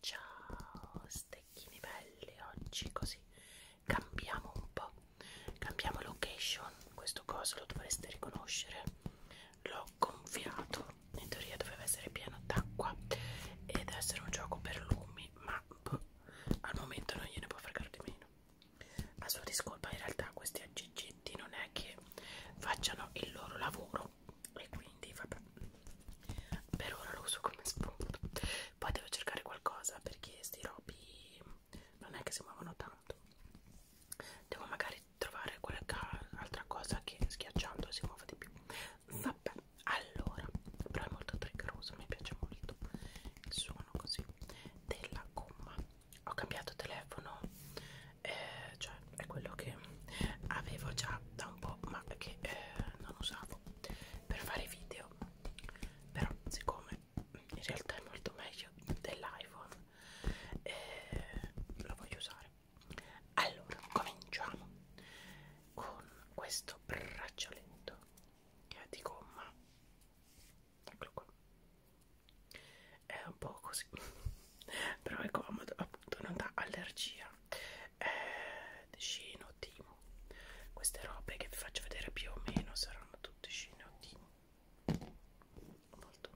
Ciao stecchini belli, oggi così cambiamo un po', cambiamo location, questo coso lo dovreste riconoscere, l'ho gonfiato, in teoria doveva essere pieno d'acqua ed essere un gioco per lumi, ma boh, al momento non gliene può fregare di meno a sua discolpa in realtà questi aggeggetti non è che facciano il loro lavoro e quindi vabbè per ora lo uso come spunto poi devo cercare qualcosa perché questi robi non è che si muovono tanto devo magari trovare qualche altra cosa che schiacciando si muova di più vabbè allora però è molto triggeroso mi piace molto il suo suono così della gomma ho cambiato telefono eh, cioè è quello che avevo già da un po' ma che eh, non usavo per fare video però siccome in realtà è molto meglio dell'iPhone eh, lo voglio usare allora cominciamo con questo braccialetto che eh, è di gomma eccolo qua è un po' così però è comodo appunto non dà allergia eh, scinotimo queste robe che vi faccio vedere più o meno saranno tutte scinotimo molto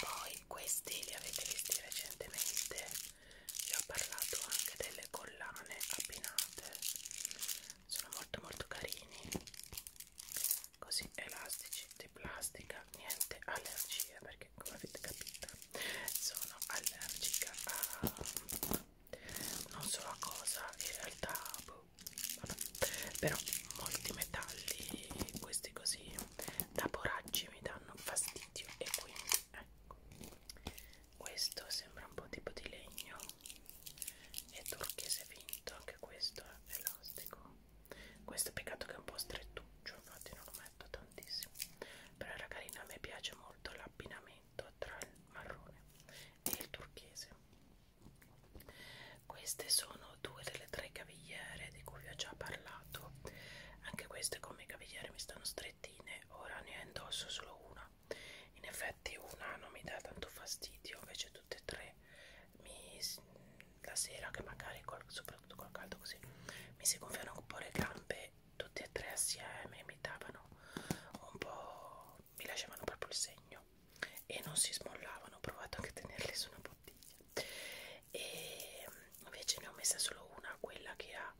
poi questi li avete visti recentemente vi ho parlato anche delle collane abbinate sono molto molto carini così elastici di plastica niente allergie perché come avete capito sono allergica a non so a cosa in realtà boh, vabbè. però molti metalli questi così da poraggi mi danno fastidio e quindi ecco questo sembra un po' tipo di legno è turchese finto anche questo è elastico questo peccato che è un po' strettuccio infatti non lo metto tantissimo però era carina a me piace molto l'abbinamento tra il marrone e il turchese queste sono due delle tre cavigliere di cui vi ho già parlato anche queste come cavigliere mi stanno strettine ora ne indosso solo una in effetti una non mi dà tanto fastidio invece tutte e tre mi, la sera che magari col, soprattutto col caldo così mi si gonfiano un po' le gambe tutte e tre assieme mi davano un po' mi lasciavano proprio il segno e non si smollavano ho provato anche a tenerle su una bottiglia e invece ne ho messa solo una quella che ha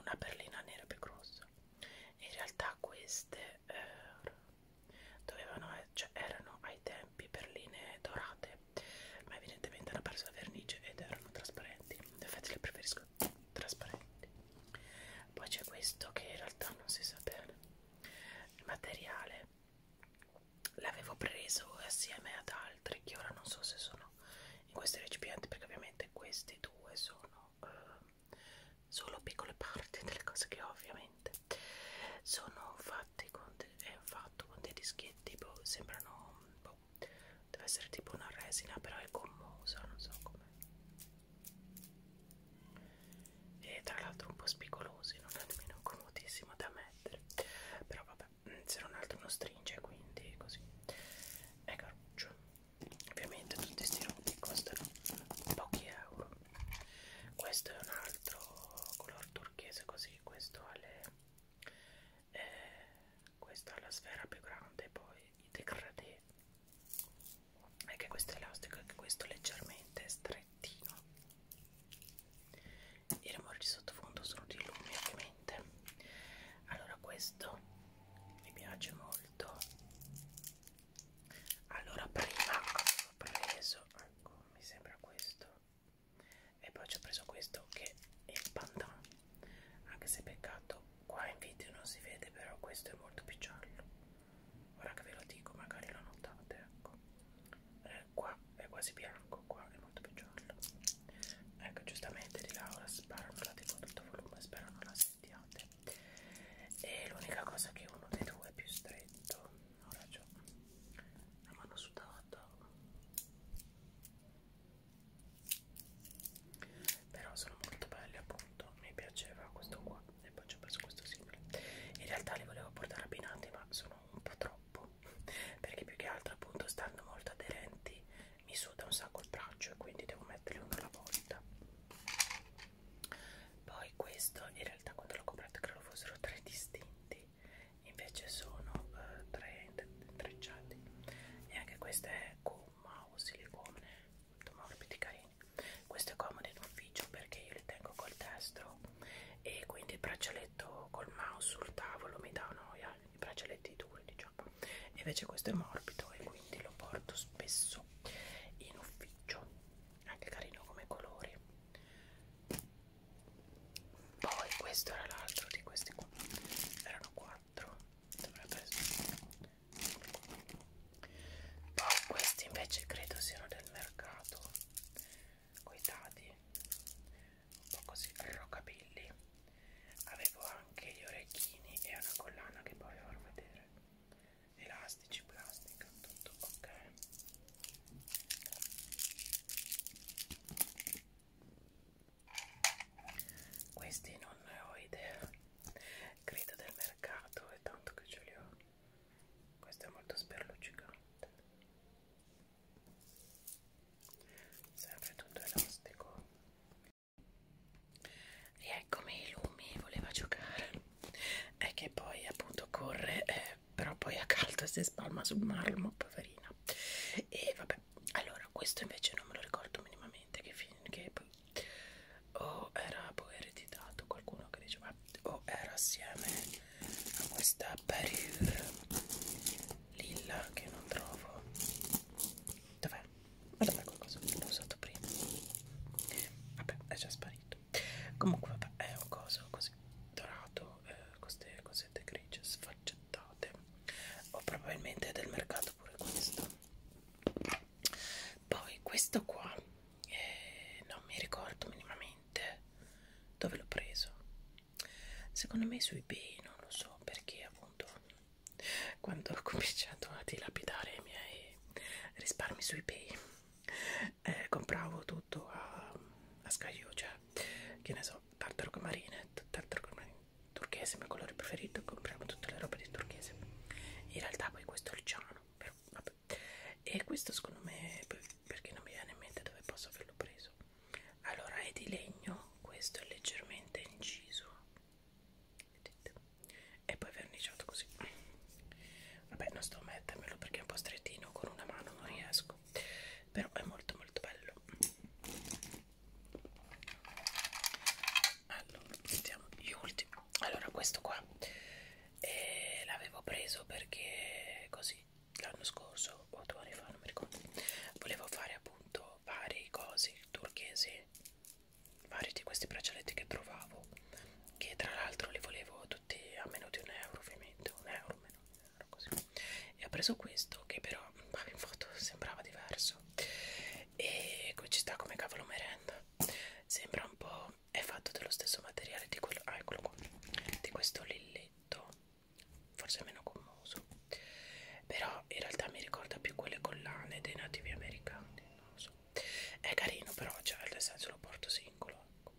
una perlina nera più grossa in realtà queste eh, dovevano cioè erano ai tempi perline dorate ma evidentemente hanno perso la vernice ed erano trasparenti in effetti le preferisco trasparenti poi c'è questo che in realtà non si sa bene il materiale l'avevo preso assieme ad altri che ora non so se sono in questi recipienti perché ovviamente questi due sono sono eh, solo piccole parti delle cose che ho ovviamente sono fatti con, de è fatto con dei dischetti tipo sembrano boh, deve essere tipo una resina però è commusa non so come e tra l'altro un po' spigolosi non è nemmeno comodissimo da mettere però vabbè mm, se non altro non stringe quindi così è caruccio ovviamente tutti questi rodi costano pochi euro questo è un altro color turchese così questo ha le eh, questa è la sfera più grande poi i degradé anche questo è elastico anche questo è leggermente strettino i rumori di sottofondo sono di lumi ovviamente allora questo mi piace molto alto allora prima ho preso ecco mi sembra questo e poi ci ho preso questo che è il pandan anche se peccato qua in video non si vede però questo è molto più giallo ora che ve lo dico magari lo notate ecco eh, qua è quasi bianco qua è molto più giallo ecco giustamente di Laura sparo non la devo tutto volume spero non la sentiate e l'unica cosa che uno dei due è più stretto ho ragione la mano sudata però sono molto belli appunto mi piaceva questo qua e poi ci ho preso questo simile in realtà li volevo portare abbinati ma sono un po' troppo perché più che altro appunto stanno molto aderenti mi suda un sacco il braccio e quindi devo mettere metterli uno alla volta poi questo in realtà quando l'ho comprato credo fossero tre distinti invece sono eh, tre intrecciati e anche questo è gomma o silicone ma capite carini questo è comodo in ufficio perché io li tengo col destro e quindi il braccialetto col mouse sul tavolo mi dà noia i braccialetti duri diciamo invece questo è morbido e quindi lo porto spesso in ufficio anche carino come colori poi questo era l'altro di questi qua erano quattro dovrebbe essere poi questi invece credo siano del mercato coi dadi un po' così roccabilli avevo anche gli orecchini e una collana che poi vi farò vedere elastici, plastica, tutto ok. Questi non ne ho idea, credo del mercato, è tanto che ce li ho. Questo è molto sperluccicante. Sempre tutto elastico Rieccomi, Lumi voleva giocare. È che poi appunto corre, eh, però poi a caldo si spalma sul marmo, poverina. E vabbè, allora questo invece non me lo ricordo minimamente che, fin, che poi o era poi ereditato qualcuno che diceva o era assieme a questa parure lilla che non trovo dov'è Madonna qualcosa l'ho usato prima Vabbè è già sparito Comunque vabbè è un coso così dorato eh, Queste cosette grigie sfaccettate O probabilmente è del mercato pure questo Poi questo qua eh, Non mi ricordo minimamente dove l'ho preso Secondo me su ebay non lo so perché appunto quando ho cominciato a dilapidare i miei risparmi sui pay eh, compravo tutto a, a scaglio cioè che ne so tartaruga marine tartaruga marine turchese mio colore preferito compriamo tutte le robe di turchese in realtà poi questo è il ciano però vabbè e questo secondo me perché non mi viene in mente dove posso averlo preso allora è di legno questo è leggermente inciso vedete e poi verniciato così vabbè non sto a mettermelo perché è un po' strettino con una mano non riesco però è molto molto bello allora mettiamo gli ultimi allora questo qua eh, l'avevo preso perché così l'anno scorso o due anni fa non mi ricordo volevo fare appunto vari cosi turchesi vari di questi braccialetti che trovavo che tra l'altro li volevo tutti a meno di un euro ovviamente un euro meno di un euro così e ho preso questo che però in foto sembrava diverso e qui ci sta come cavolo merenda sembra un po' è fatto dello stesso materiale di quello ah eccolo qua di questo lilletto forse meno commoso però in realtà mi ricorda più quelle collane dei nativi americani non lo so è carino però cioè nel senso lo porto singolo ecco.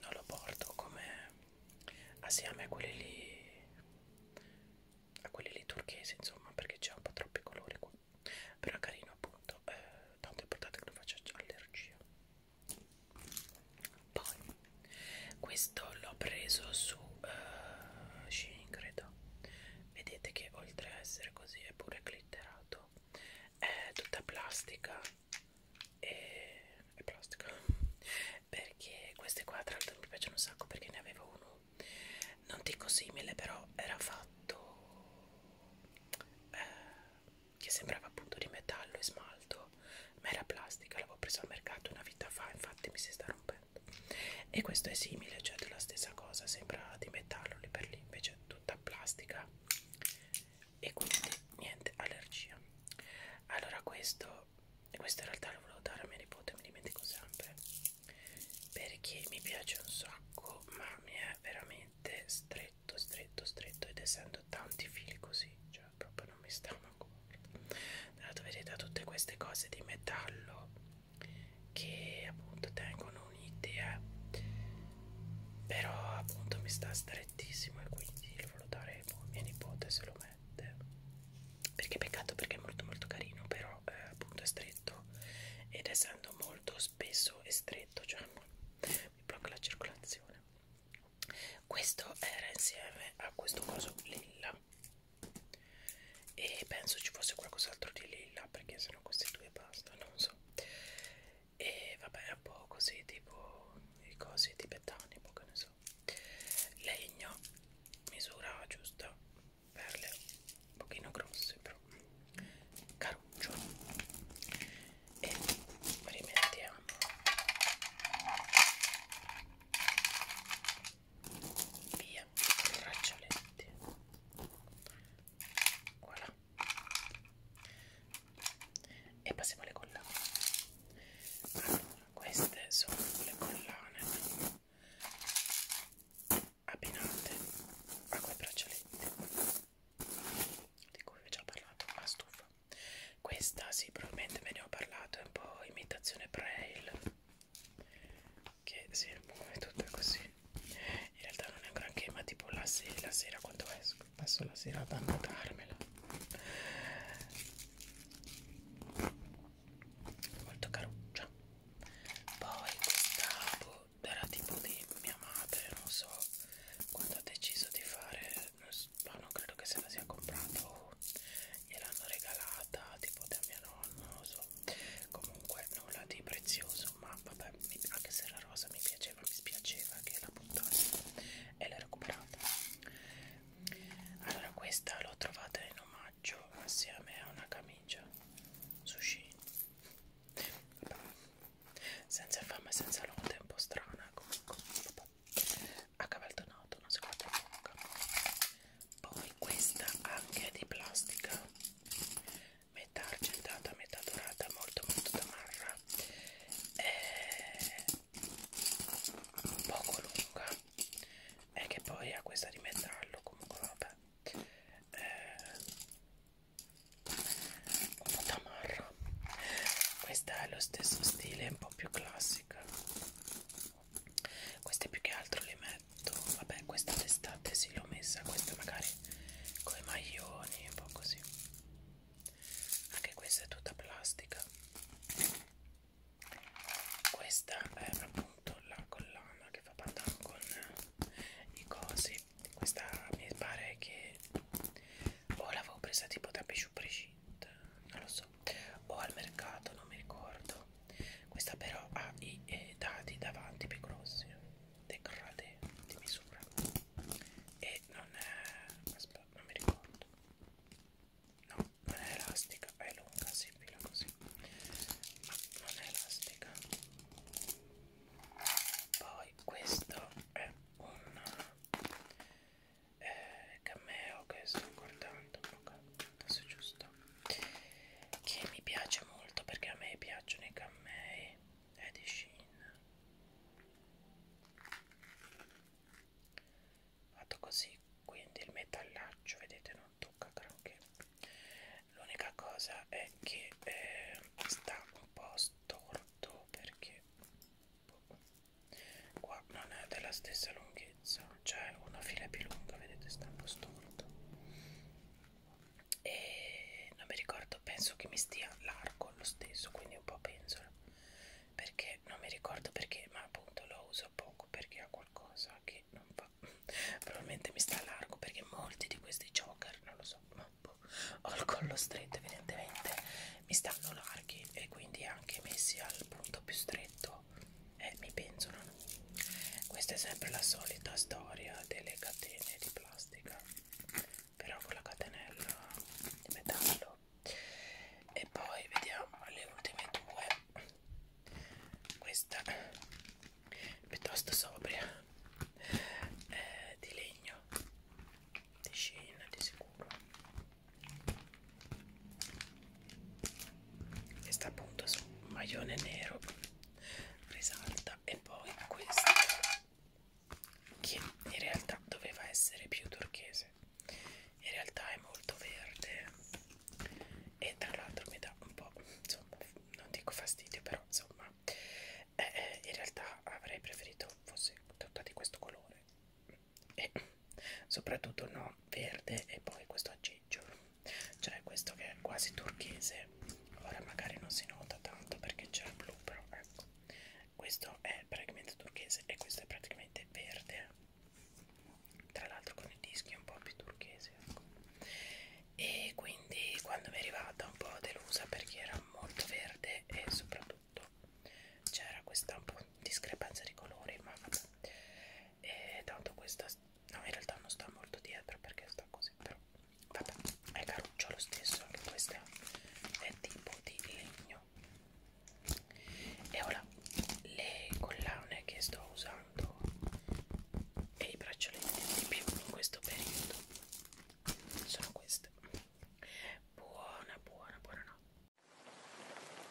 non lo porto come assieme a quelli lì a quelli lì turchesi insomma perché c'è un po' troppi colori qua però è carino appunto eh, tanto è importante che non faccia allergia poi questo l'ho preso su uh, Shein credo vedete che oltre a essere così è pure glitterato è eh, tutta plastica e è plastica perché queste qua tra l'altro mi piacciono un sacco perché ne avevo uno non dico simile però era fatto eh, che sembrava appunto di metallo e smalto ma era plastica l'avevo preso al mercato una vita fa infatti mi si sta rompendo e questo è simile cioè della stessa cosa sembra di metallo lì per lì invece tutta plastica e quindi niente allergia allora questo questo in realtà lo volevo dare a mia nipote mi dimentico sempre perché mi piace un sacco ma mi è veramente stretto stretto stretto ed essendo tanti fili così cioè proprio non mi stanno a cuore dato vedete tutte queste cose di metallo che appunto tengono un'idea eh. però appunto mi sta strettissimo e quindi lo voteremo boh, mia nipote se lo mette perché peccato perché è molto molto carino però eh, appunto è stretto ed essendo molto spesso e stretto cioè mi blocca la circolazione questo era insieme a questo coso lilla e penso ci fosse qualcos'altro di lilla perché sennò questi due basta non so e vabbè un po' così tipo i cosi tibetani un po' che ne so legno misura giusta perle un pochino grosse però caruccio e rimettiamo via i braccialetti voilà e passiamo alle collane allora queste sono le collane abbinate a quei braccialetti di cui vi ho già parlato a stufa questa sì probabilmente ve ne ho parlato è un po' imitazione braille che sì, è tutto così in realtà non è un granché ma tipo la, se la sera quando esco passo la sera ad annotarmela molto caruccia poi questa era tipo di mia madre non so quando ha deciso di fare non, so, non credo che se la sia comprata o gliel'hanno regalata tipo da mia nonna non so comunque nulla di prezioso ma vabbè anche se era rosa mi piaceva mi spiaceva che la buttassi e l'ho recuperata allora questa l'ho trovata in omaggio assieme a una camicia sushi vabbè. senza fame senza lode un po' strana comunque vabbè. a cavaltonato non si guarda bocca poi questa anche di plastica metà argentata, metà dorata, molto molto tamarra e poco lunga e che poi ha questa di metallo comunque vabbè eh, un po' tamarra questa è lo stesso stile un po' più classica queste più che altro le metto vabbè questa d'estate si sì, l'ho messa questa magari con i maglioni, un po' così. Anche questa è tutta plastica. Questa è appunto la collana che fa pantalone con i cosi. Questa mi pare che o boh, l'avevo presa tipo da Bijou Brigitte, non lo so, o boh, al mercato, non mi ricordo. Questa però ha i eh, dadi davanti più grossi, degradé di misura e non è... aspetta, non mi ricordo no, non è elastica, è lunga, si pila così ma non è elastica poi questo è un eh, cameo che sto guardando ok, adesso giusto che mi piace molto perché a me piacciono i cammei Eddie Sheen fatto così quindi il metallaccio vedete non tocca granché l'unica cosa è che eh, sta un po' storto perché boh, qua non è della stessa lunghezza c'è cioè una fila più lunga vedete sta un po' storto e non mi ricordo, penso che mi stia largo lo stesso, quindi un po' penzola, perché non mi ricordo perché, ma appunto lo uso poco perché ha qualcosa che non fa, probabilmente mi sta largo perché molti di questi jogger, non lo so, ma boh, ho il collo stretto evidentemente, mi stanno larghi e quindi anche messi al punto più stretto eh, mi penzolano. Questa è sempre la solita storia delle catene di plastica però con la catenella di metallo e poi vediamo le ultime due questa piuttosto sobria eh, di legno di Shein di sicuro questa appunto su un maglione nero risalta e poi questa che in realtà doveva essere più turchese in realtà è molto verde e tra l'altro mi dà un po' insomma non dico fastidio però insomma eh, eh, in realtà avrei preferito fosse tutta di questo colore e soprattutto no verde e poi questo aggeggio cioè questo che è quasi turchese ora magari non si nota tanto perché c'è il blu però ecco questo è praticamente turchese e questo è praticamente verde tra l'altro con i dischi un po' più turchesi ecco. e quindi quando mi è arrivata un po' delusa perché era molto verde e soprattutto c'era questa un po' discrepanza di colori ma vabbè e tanto questa no in realtà non sta molto dietro perché sta così però Vabbè, è caruccio lo stesso, anche questa è tipo di legno. E ora le collane che sto usando e i braccialetti di più in questo periodo sono queste. Buona, buona, buona notte.